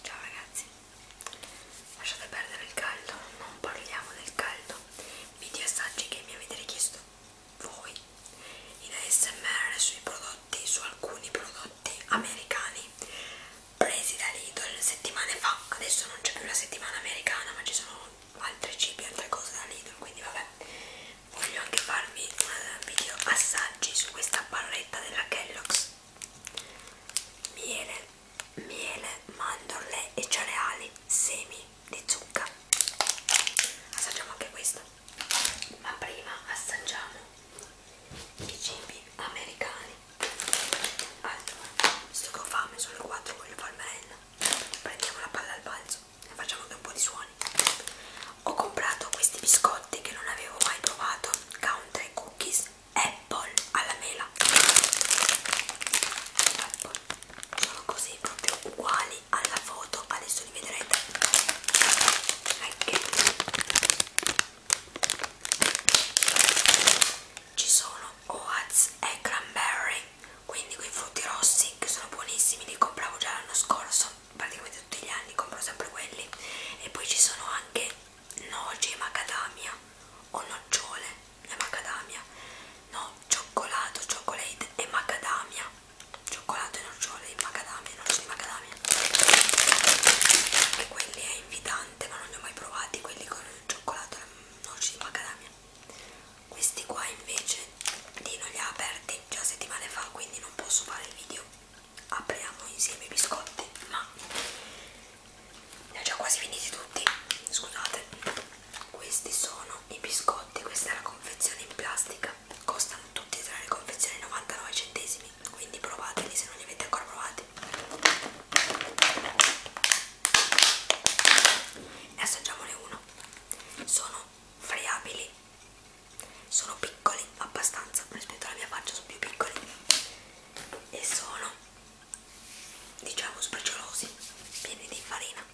Ciao ragazzi, lasciate perdere il caldo, non parliamo del caldo. Video assaggi che mi avete richiesto voi in ASMR sui prodotti, su alcuni prodotti americani presi da Lidl settimane fa. Adesso non c'è più la settimana americana, ma ci sono altri cibi, altre cose da Lidl, quindi vabbè. Voglio anche farvi un video assaggi su questa barretta della Kellogg's miele, miele, mandorle e cereali, semi di zucca. Assaggiamo anche questo, ma prima assaggiamo i cibi americani. Allora, sto con fame, sono le 4, voglio fare merenda. Prendiamo la palla al balzo e facciamo anche un po' di suoni. Ho comprato questi biscotti che non avevo mai provato, country cookies apple alla mela apple. sono così proprio uguali alla foto adesso li vedrete ci sono oats e cranberry quindi quei frutti rossi che sono buonissimi li compravo già l'anno scorso praticamente tutti gli anni compro sempre quelli e poi ci sono anche noci e macadamia o nocciole e macadamia no, cioccolato, cioccolate e macadamia cioccolato e nocciole e macadamia, noci di macadamia anche quelli è invitante ma non li ho mai provati quelli con il cioccolato e noci di macadamia questi qua invece Dino li ha aperti già settimane fa quindi non posso fare il video apriamo insieme i biscotti ma ne ho già quasi finiti tutti scusate questi sono i biscotti questa è la confezione in plastica costano tutti e tre le confezioni 99 centesimi quindi provateli se non li avete ancora provati ne assaggiamone uno sono friabili sono piccoli abbastanza rispetto alla mia faccia sono più piccoli e sono diciamo speciolosi pieni di farina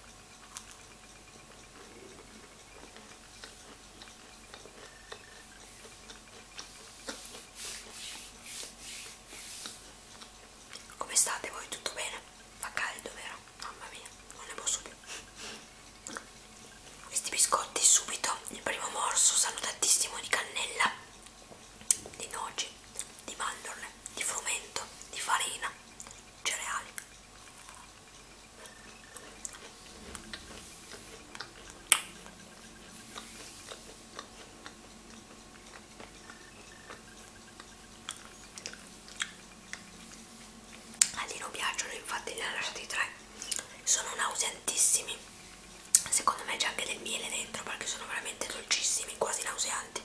come state voi? Tutto bene? Fa caldo vero? Mamma mia, non ne posso più. Questi biscotti subito, il primo morso, sanno tantissimo di cannella di noci, di mandorle, di frumento, di farina, cereali. A Lino piacciono, infatti ne ha lasciati tre, sono nauseantissimi secondo me c'è anche del miele dentro perché sono veramente dolcissimi, quasi nauseanti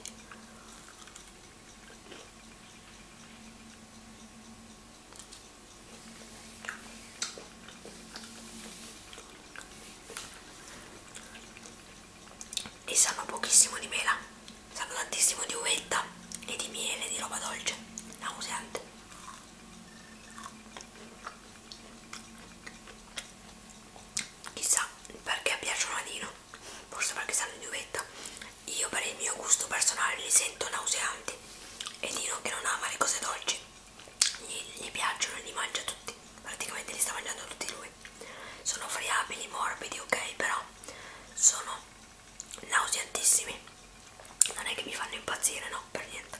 e sanno pochissimo di mela sanno tantissimo di uvetta e di miele, di roba dolce nauseante chissà perché piacciono a Dino forse perché sanno di uvetta io per il mio gusto personale li sento nauseanti e Dino che non ama le cose dolci gli, gli piacciono e li mangia tutti praticamente li sta mangiando tutti lui sono friabili, morbidi, ok però sono nauseantissimi non è che mi fanno impazzire, no, per niente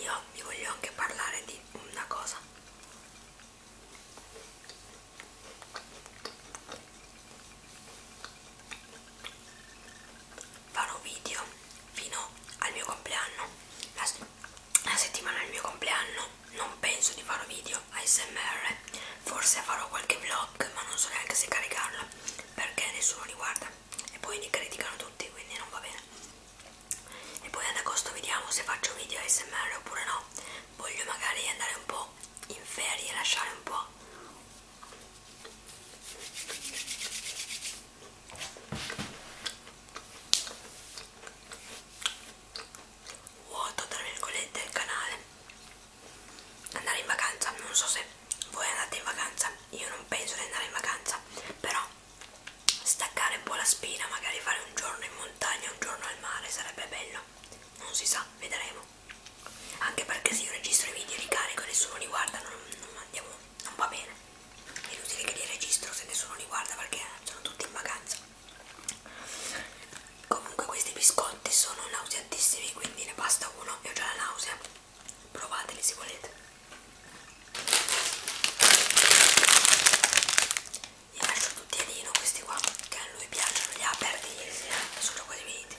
io vi voglio anche parlare di una cosa farò video fino al mio compleanno la, se la settimana del mio compleanno non penso di fare video ASMR forse farò qualche vlog ma non so neanche se caricarlo perché nessuno li guarda e poi li criticano tutti quindi non va bene e poi ad agosto vediamo se faccio video ASMR oppure no voglio magari andare un po' in ferie lasciare un po' vuoto tra virgolette il canale andare in vacanza non so se voi andate in vacanza io non penso di andare in vacanza però staccare un po' la spina magari fare un giorno in montagna un giorno al mare sarebbe bello non si sa vedremo anche perché se io registro i video li carico e nessuno li guarda non, non, andiamo, non va bene è inutile che li registro se nessuno li guarda perché sono tutti in vacanza comunque questi biscotti sono nauseatissimi quindi ne basta uno e ho già la nausea provateli se volete gli lascio tutti a Nino questi qua che a lui piacciono li ha aperti ieri sera sono quasi finiti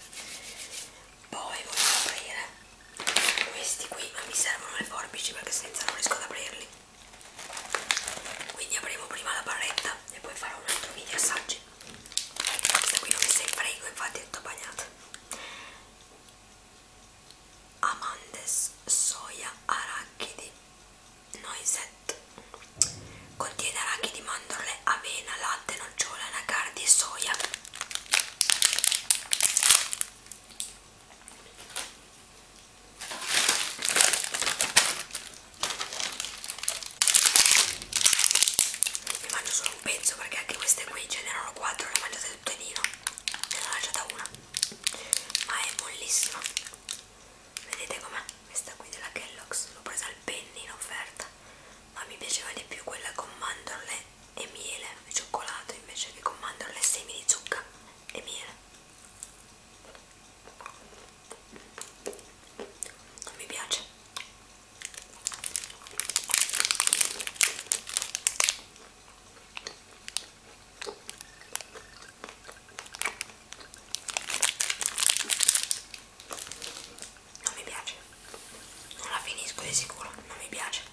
poi voglio aprire questi qui non mi servono le forbici perché senza non riesco ad aprirli quindi apriamo prima la barretta e poi farò un altro video assaggi questa qui l'ho messa in frigo infatti è tutta bagnata amandes soia arachidi noisette contiene arachidi mandorle avena latte nocciola anacardi e soia ne mangio solo un pezzo perché anche queste qui ce n'erano 4, le ho mangiate tutte di no. Ne ho lasciata una. Ma è mollissima. Vedete com'è? Questa qui della Kellogg's l'ho presa al penny in offerta. Ma mi piaceva di più quella con mandorle e miele e cioccolato invece che con mandorle e semi di zucca e miele non mi piace non mi piace non la finisco di sicuro non mi piace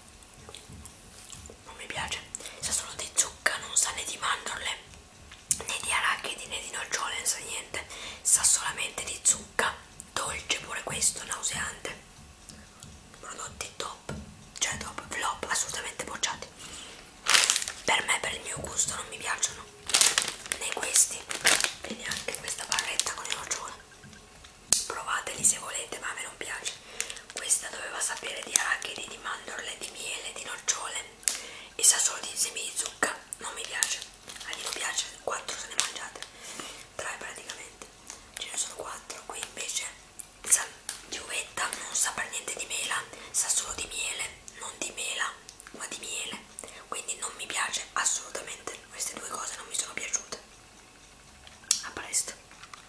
non mi piace sa solo di zucca non sa né di mandorle né di arachidi né di nocciole non sa niente sa solamente di zucca dolce pure questo nauseante prodotti top cioè top flop assolutamente bocciati per me per il mio gusto non mi piacciono né questi e neanche questa barretta con le nocciole provateli se volete ma a me non piace questa doveva sapere di arachidi, di mandorle, di miele, di nocciole e sa solo di semi di zucca. Non mi piace. A Dino piace, 4 se ne mangiate. 3 praticamente. Ce ne sono 4. Qui invece sa di uvetta, non sa per niente di mela, sa solo di miele, non di mela, ma di miele. Quindi non mi piace assolutamente. Queste due cose non mi sono piaciute. A presto.